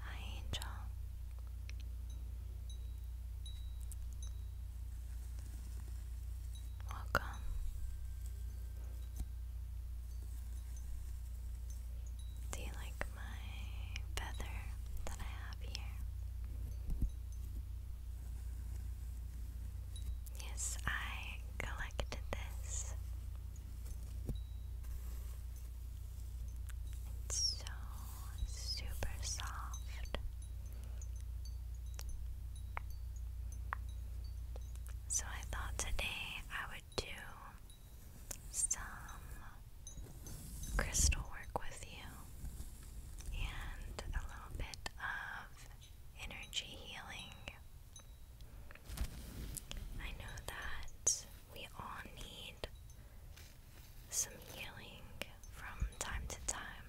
Hi, Angel. Welcome. Do you like my feather that I have here? Yes, I collected this. It's so super soft. So I thought today I would do some crystal work with you and a little bit of energy healing. I know that we all need some healing from time to time,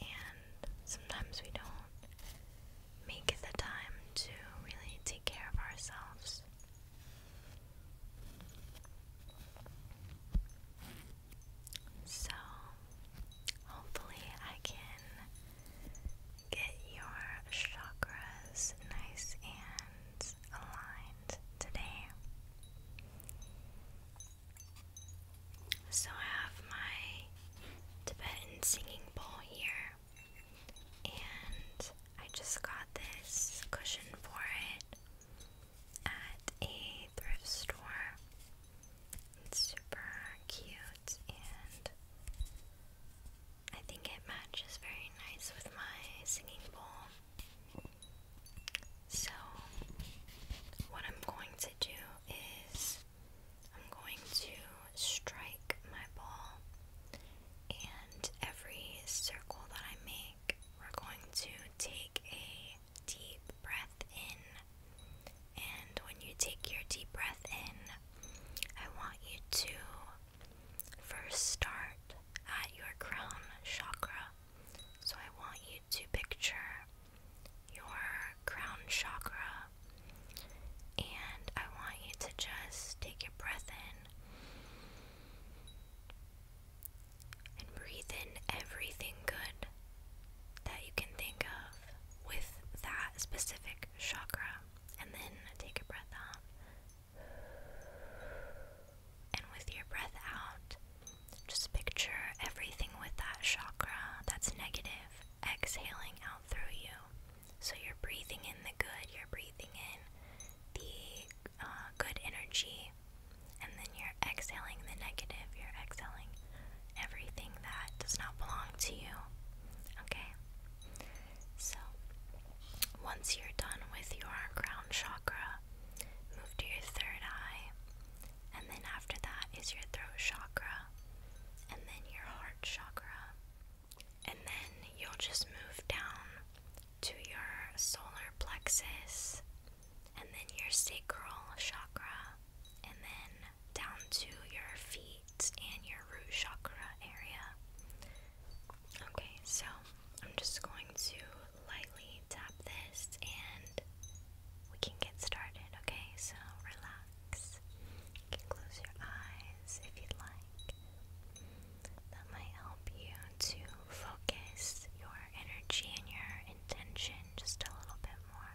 and sometimes we don't make the time to really take care of ourselves. So, hopefully, I can get your chakras nice and aligned today. So, I have my Tibetan singing bowl here, and I just got this cushion for it at a thrift store. It's super cute and I think it matches very nice with my singing bowl. So, what I'm going to do is I'm going to strike my ball, and every circle that I make, we're going to take a deep breath in and when you take your deep breath in, I want you to first start at your crown chakra. So I want you to picture your crown chakra and I want you to just take your breath in and breathe in everything good that you can think of with that specific chakra, and then take a breath out. And with your breath out, just picture everything with that chakra that's negative exhaling out through you. So you're breathing in the good, you're breathing in the uh, good energy, and then you're exhaling the negative, you're exhaling everything that does not belong to you. Okay? So, once you're done with your crown chakra, move to your third eye, and then after that is your throat chakra, and then your heart chakra, and then you'll just move down to your solar plexus, and then your sacral chakra, and then down to your feet and your root chakra area. Okay, so I'm just going to lightly tap this and we can get started, okay? So relax. You can close your eyes if you'd like. That might help you to focus your energy and your intention just a little bit more.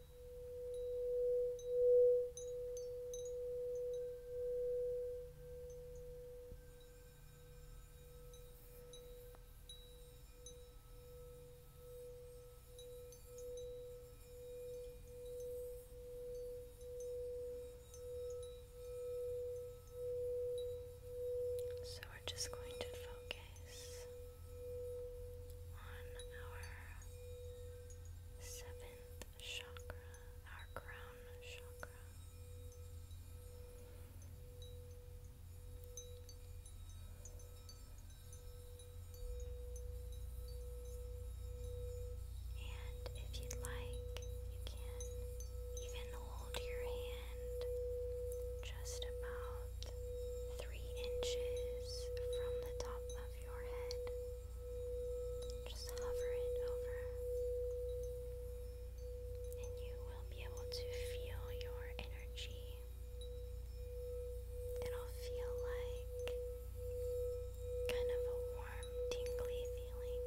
So we're just going to focus on our seventh chakra, our crown chakra. And if you'd like, you can even hold your hand just about three inches from the top of your head. Just hover it over, and you will be able to feel your energy. It'll feel like kind of a warm, tingly feeling.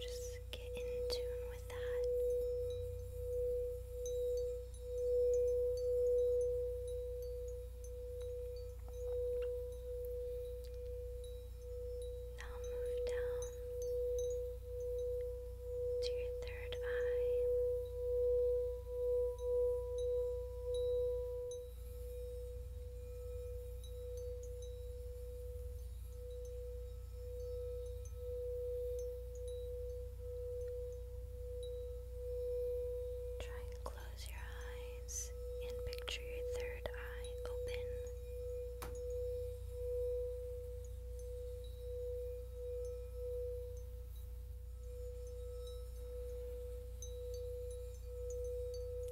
Just get in tune with that. Now move down to your third eye. Try and close your eyes and picture your third eye open.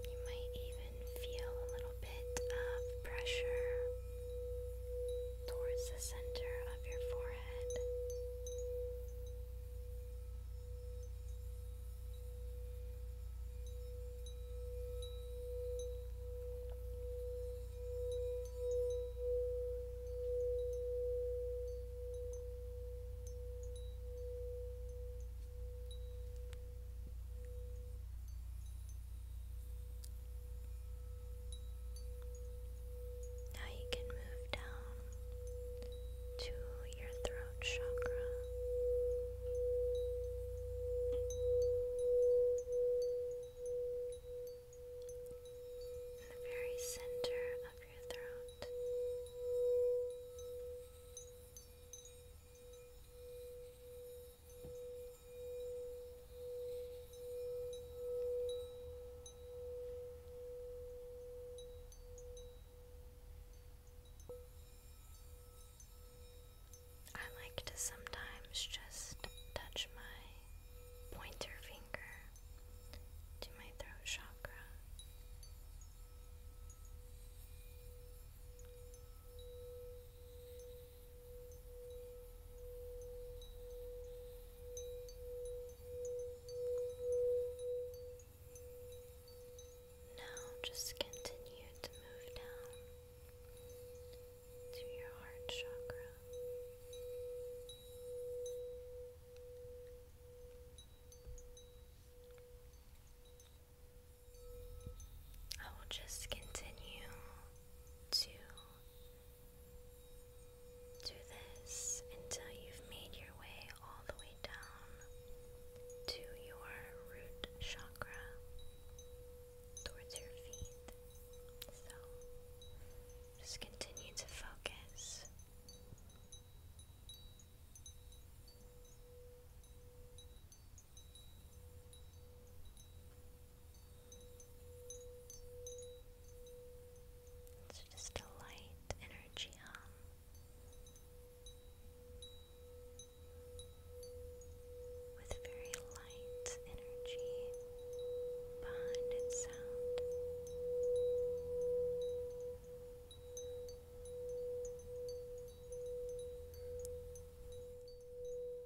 You might even feel a little bit of pressure towards the center of your forehead. Now you can move down to your throat chakra. In the very center of your throat. I like to sometimes just touch my pointer finger to my throat chakra. Now just continue to move down to your heart chakra. I will just continue to do this until you've made your way all the way down to your root chakra towards your feet. So just continue to focus. It's just a light energy hum. With very light energy behind its sound.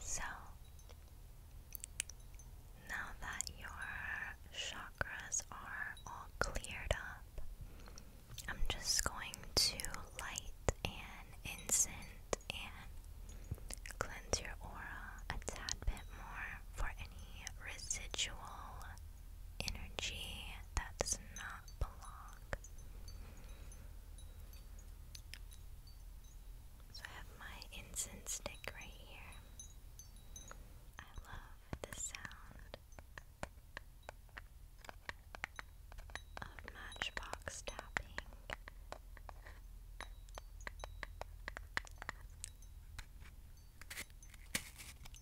so now that your chakras are all cleared up, I'm just going to light an incense and cleanse your aura a tad bit more for any residual energy that's not. So I have my incense stick right here. I love the sound of matchbox tapping.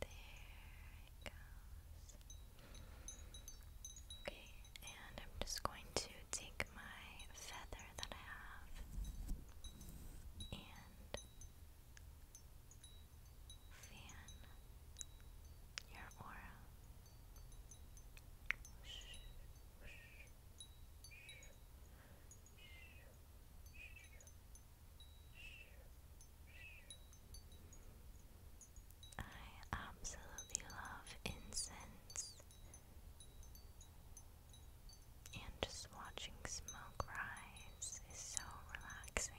There it goes. Okay, and I'm just going to take my feather that I have and fan your aura. Whoosh, I absolutely love incense and just watching smoke rise is so relaxing.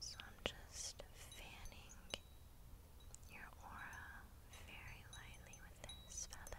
So I'm just fanning your aura very lightly with this feather.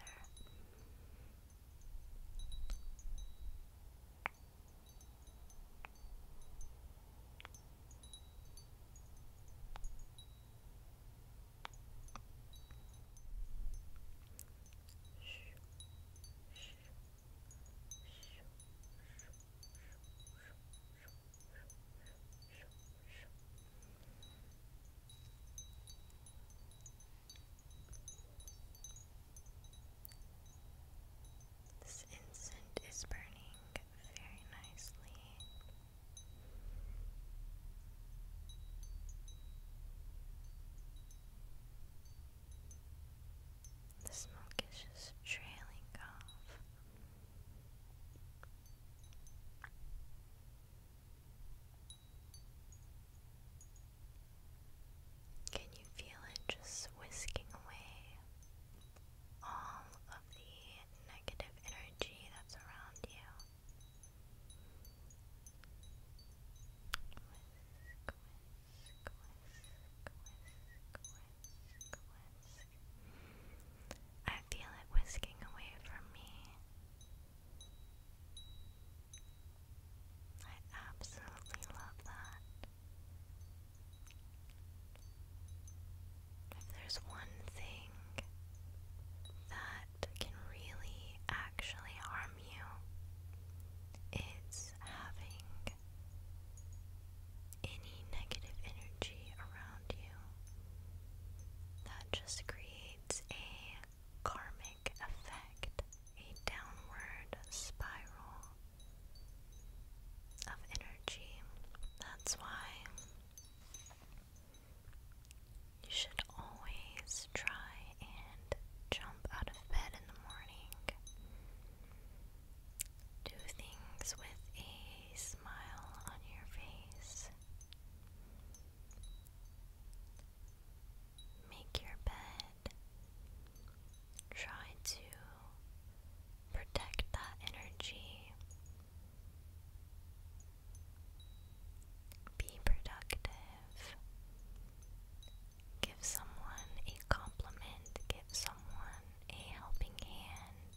This incense is burning very nicely. The smoke is just trailing off. Can you feel it just whisking away all of the negative energy that's around you? I feel it whisking away from me. I absolutely love that. If there's one thing that can really actually harm you, it's having any negative energy around you that just creates a karmic effect, a downward spiral of energy. That's why you should always try and jump out of bed in the morning. Do things with a smile on your face. Make your bed. Try to protect that energy. Be productive give someone a compliment, give someone a helping hand.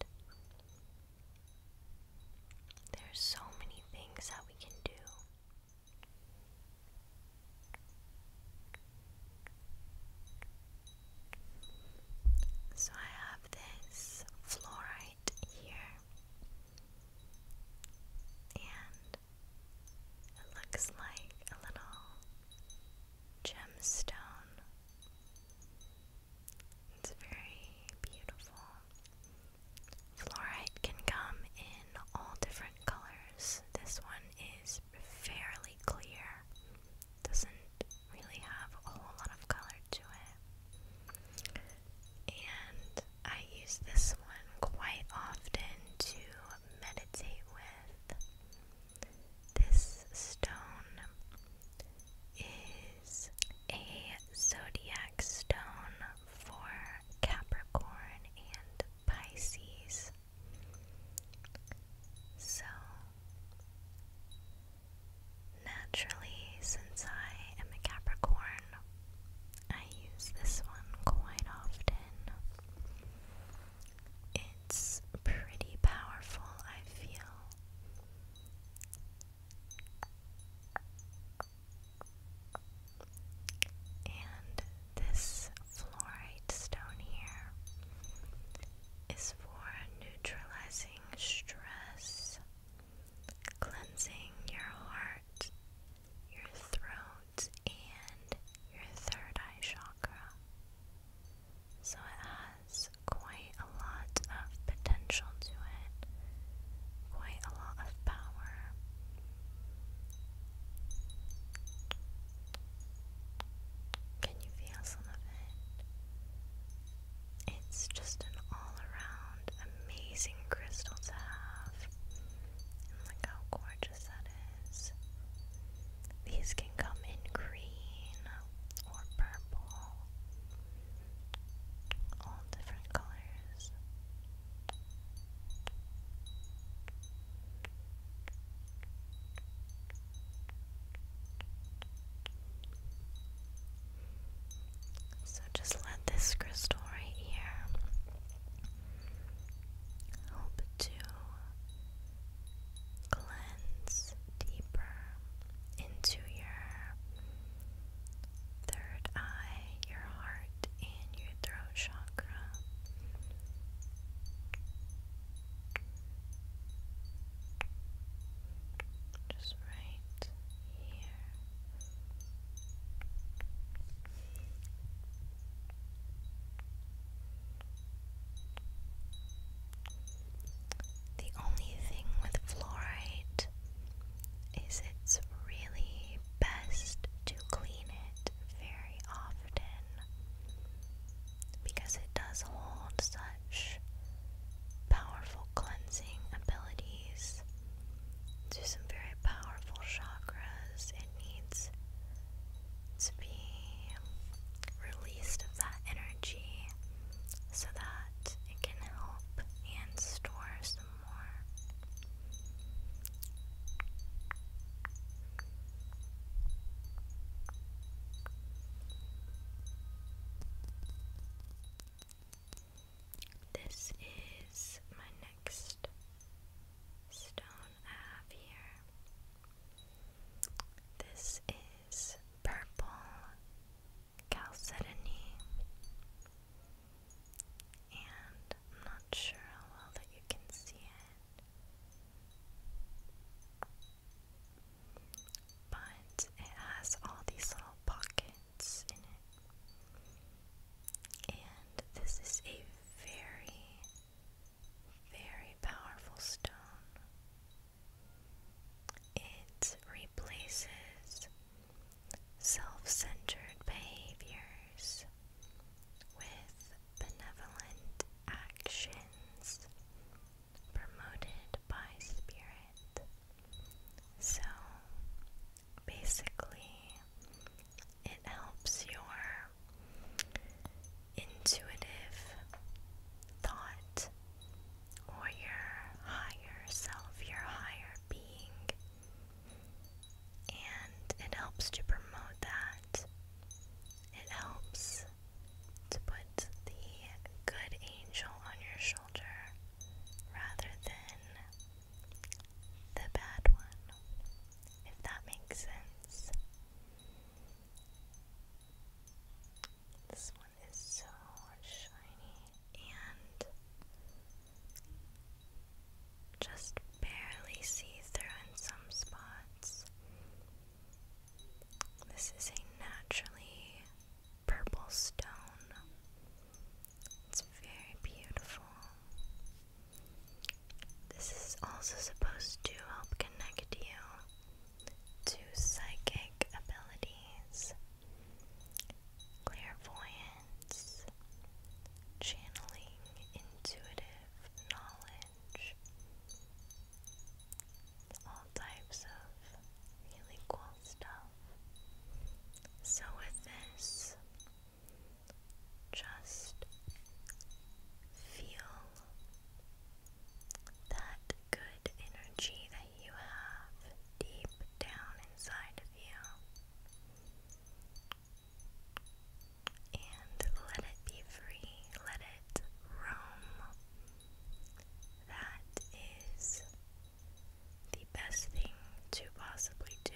There's so many things that we can do. So I have this fluorite here, and it looks like a little gemstone. It's very beautiful. Fluorite can come in all different colors. This one is fairly clear, doesn't really have a lot of color to it. And I use this one quite often to meditate with. This stone is a zodiac stone for Capricorn and Pisces. So, naturally, since I am a Capricorn, I use this one quite often. It's pretty powerful, I feel. And this fluorite stone here is for neutralizing stress, cleansing your heart, your throat and your third eye chakra. So it has quite a lot of potential to it, quite a lot of power. Can you feel some of it? It's just an all around amazing crystal to have. look how gorgeous gorgeous that is. These can come in green or purple, all different colors. So just let this crystal right here help to Cleanse deeper into your third eye, your heart, and your throat chakra. Just right here. The only thing with fluorite is it's really best to clean it very often because it does hold such powerful cleansing abilities to some very powerful chakras needs to be released of that energy so that it can help and store some more. This is my next stone here. This is purple chalcedony, and I'm not sure how well that you can see it, but it has all these little pockets in it, and this is a very very powerful stone. It replaces self centered behaviors with benevolent actions promoted by spirit. So basically, it helps your intuitive thought or your higher self, your higher being, and it helps to promote that. It helps to put the good angel on your shoulder rather than the bad one if that makes sense. This one is so shiny and just barely see through in some spots. This is a naturally purple stone. It's very beautiful. This is also supposed to help connect you to psychic abilities, clairvoyance, channeling intuitive knowledge, all types of really cool stuff. So, with this, just feel that good energy that you have deep down inside of you. And let it be free, let it roam. That is the best thing to possibly do.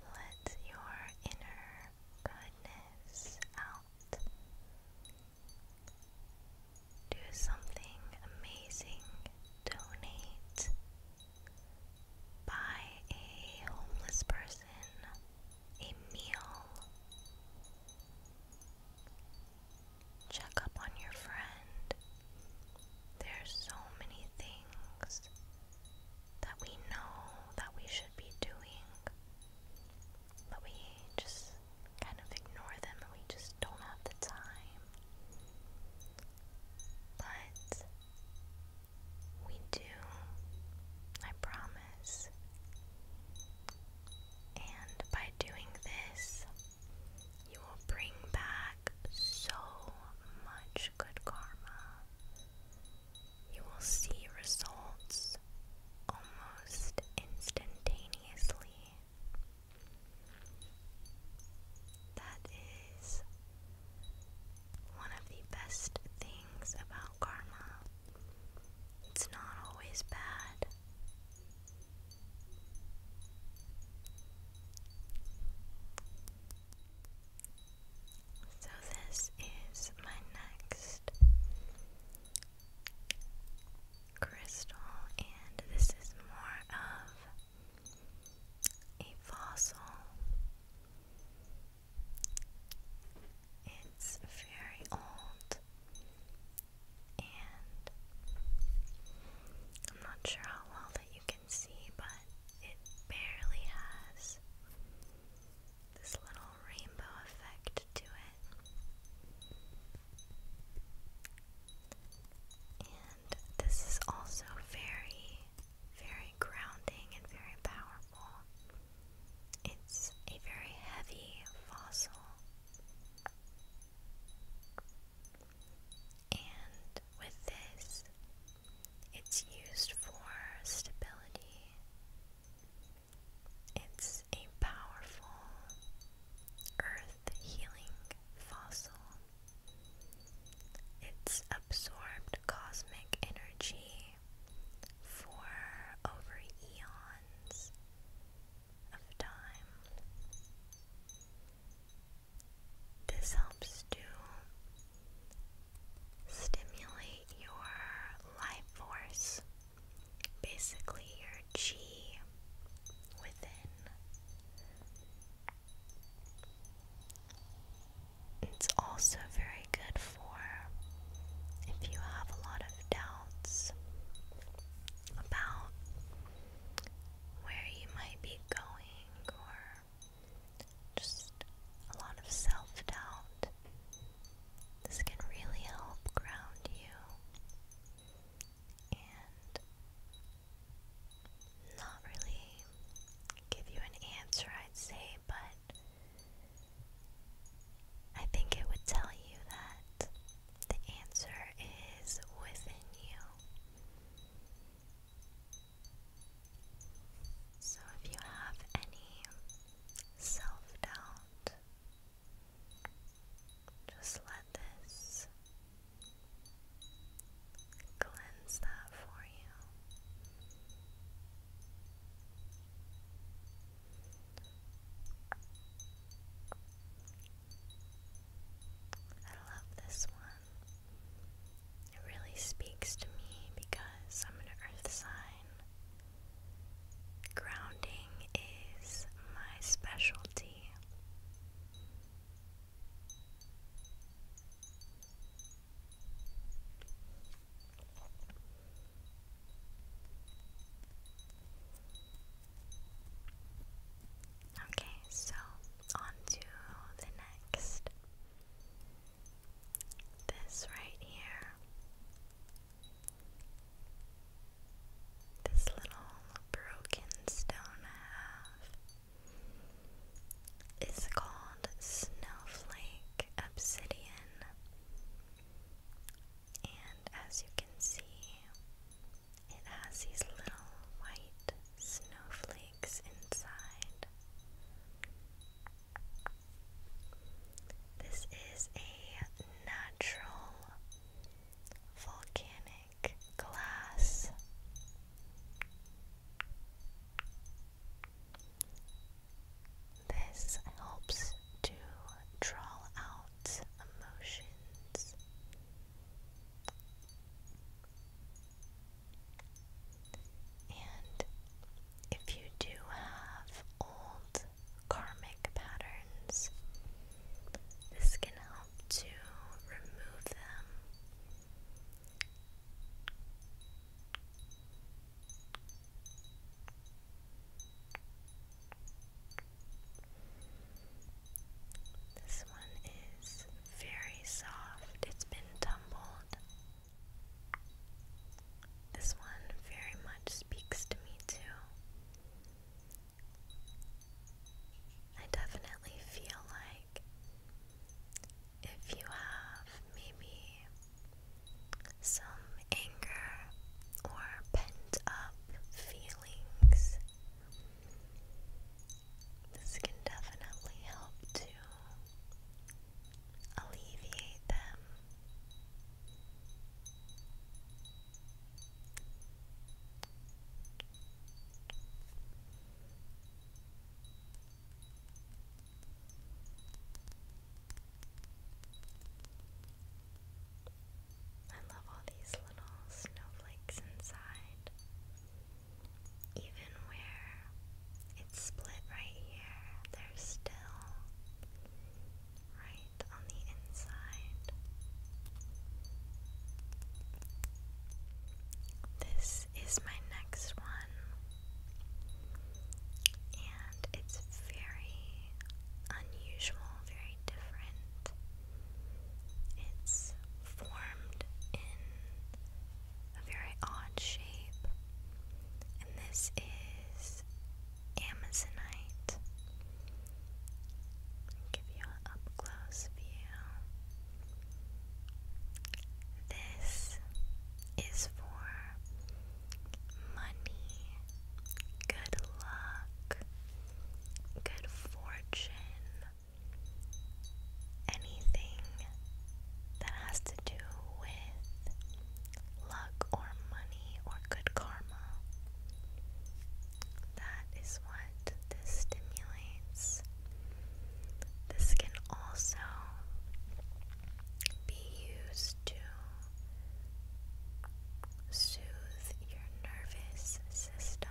Let your inner goodness out. Do something amazing. Donate Buy a homeless person a meal. Check up on your friend. There's so many things that we know that we should be doing, but we just kind of ignore them and we just don't have the time. But we do. I promise. And by doing this, you will bring back so much good karma. You will see results almost instantaneously. That is one of the best things about karma, it's not always bad. So, this is my next crystal, and this is more of a fossil it's very old, and I'm not sure how well that you can see, but it barely has this little rainbow effect to it. And this is also very very grounding and very powerful. It's a very heavy fossil. And with this, it's used for stability. It's a powerful earth healing fossil. It's absorbed cosmic energy for over eons of time. This helps to stimulate your life force, basically your chi within, it's also very good for if you have a lot of doubts about where you might be going or just a lot of self doubt. This can really help ground you not really give you an answer, I'd say, but I think it would tell you that the answer is within you. So if you have any self doubt, just let this cleanse that for you. I love this one. It really speaks to me because I'm an earth sign. Grounding is my specialty. Okay, so on to the next. This right here. This little broken stone I it's called Snowflake Obsidian, and as you can see, it has these little white snowflakes inside. This is a natural volcanic glass. This helps to draw out emotions. And if you do have old karmic patterns, this can help to remove them this one is very soft, it's been tumbled. This one very much speaks to me, too. I definitely feel like like if you have maybe some anger or pent up feelings, this can definitely help to alleviate them. I love all these little snowflakes inside. Even where it's split right here, they still right on the inside. This is my next one, and it's very unusual, very different. It's formed in a very odd shape, and this is Amazonite. give you an up close view. This is for money, good luck, good fortune, anything that has to do with luck or money or good karma. That is what this stimulates. This can also be used to soothe your nervous system.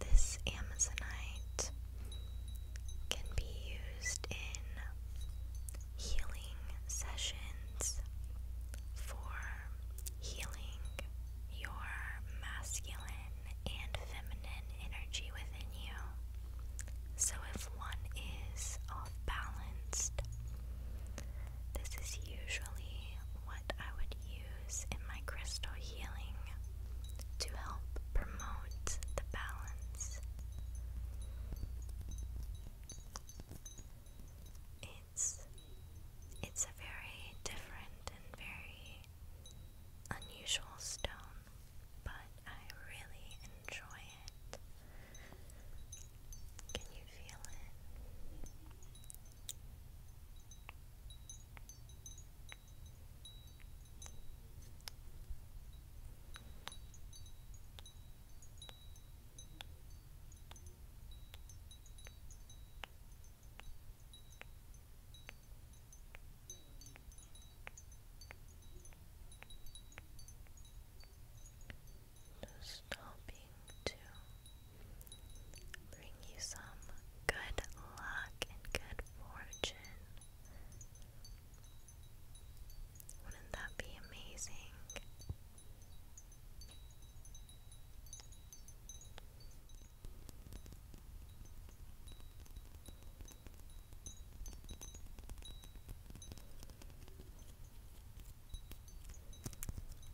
This Amazonite can be used in healing sessions for healing your masculine and feminine energy within you. So, if one is off balanced, this is usually what I would use in my crystal healing to help promote the balance. It's it's a very different and very unusual stone, but I really enjoy it. Can you feel it? Just hoping to bring you some good luck and good fortune. Wouldn't that be amazing?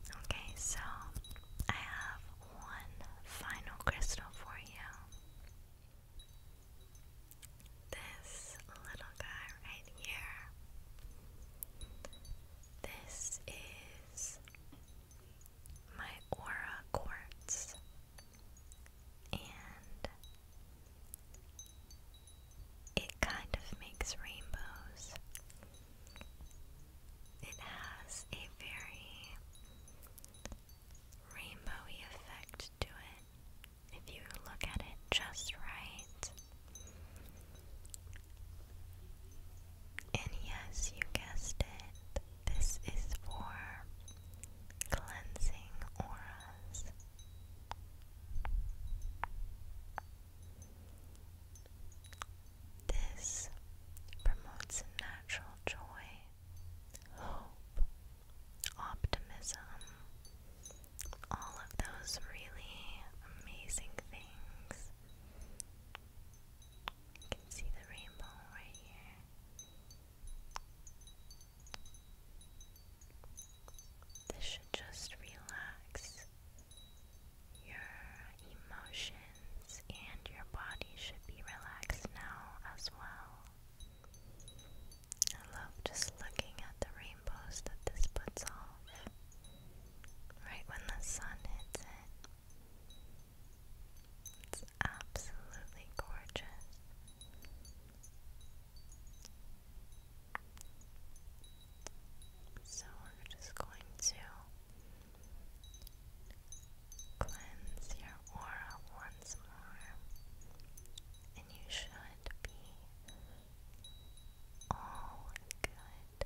Okay, so I have one final crystal for you this little guy right here. This is my aura quartz, and it kind of makes rainbows. It has a very rainbowy effect to it if you look at it just right. And yes, you guessed it. This is for cleansing auras. This promotes natural joy, hope, optimism, all of those really amazing things. You can see the rainbow right here. This should just relax your emotions, and your body should be relaxed now as well. I love just looking at the rainbows that this puts on right when the sun hits it. It's absolutely gorgeous. So we're just going to cleanse your aura once more, and you should be all good.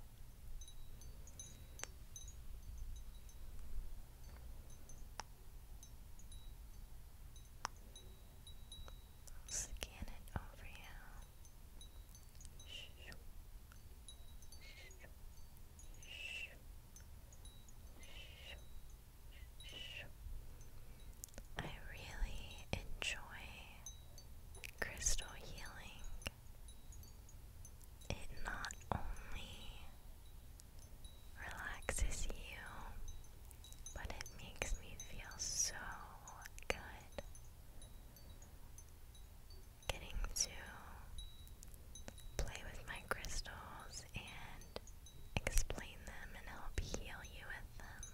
I'll scan it over you. Shoo. Shoo. Shoo. Shoo. Shoo. I really enjoy crystal healing. It not only relaxes you, but it makes me feel so good. Getting to play with my crystals and explain them and help heal you with them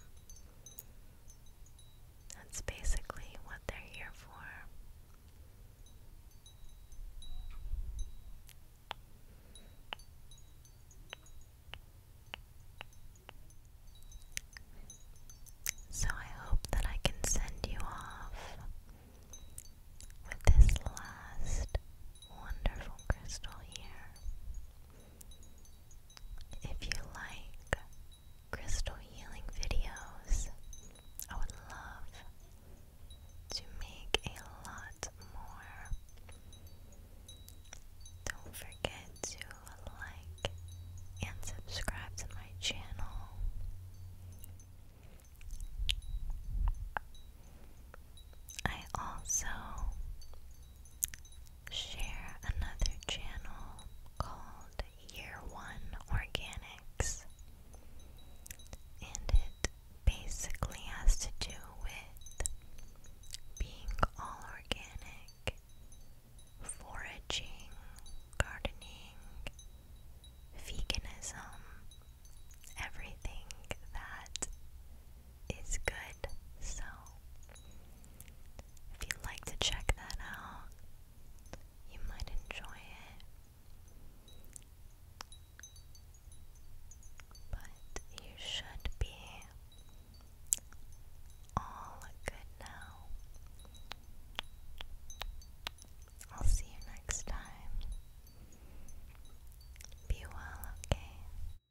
that's basically what they're here for. So I hope that I can send you off with this last wonderful crystal here. If you like crystal healing videos, I would love to make a lot more. Don't forget to like and subscribe to my channel. I also share another channel called Year One Organics, and it basically has to do with being all organic, foraging, gardening, veganism, everything that is good. So, if you'd like to check that out, you might enjoy it. But you should be all good now. I'll see you next time. Be well, okay?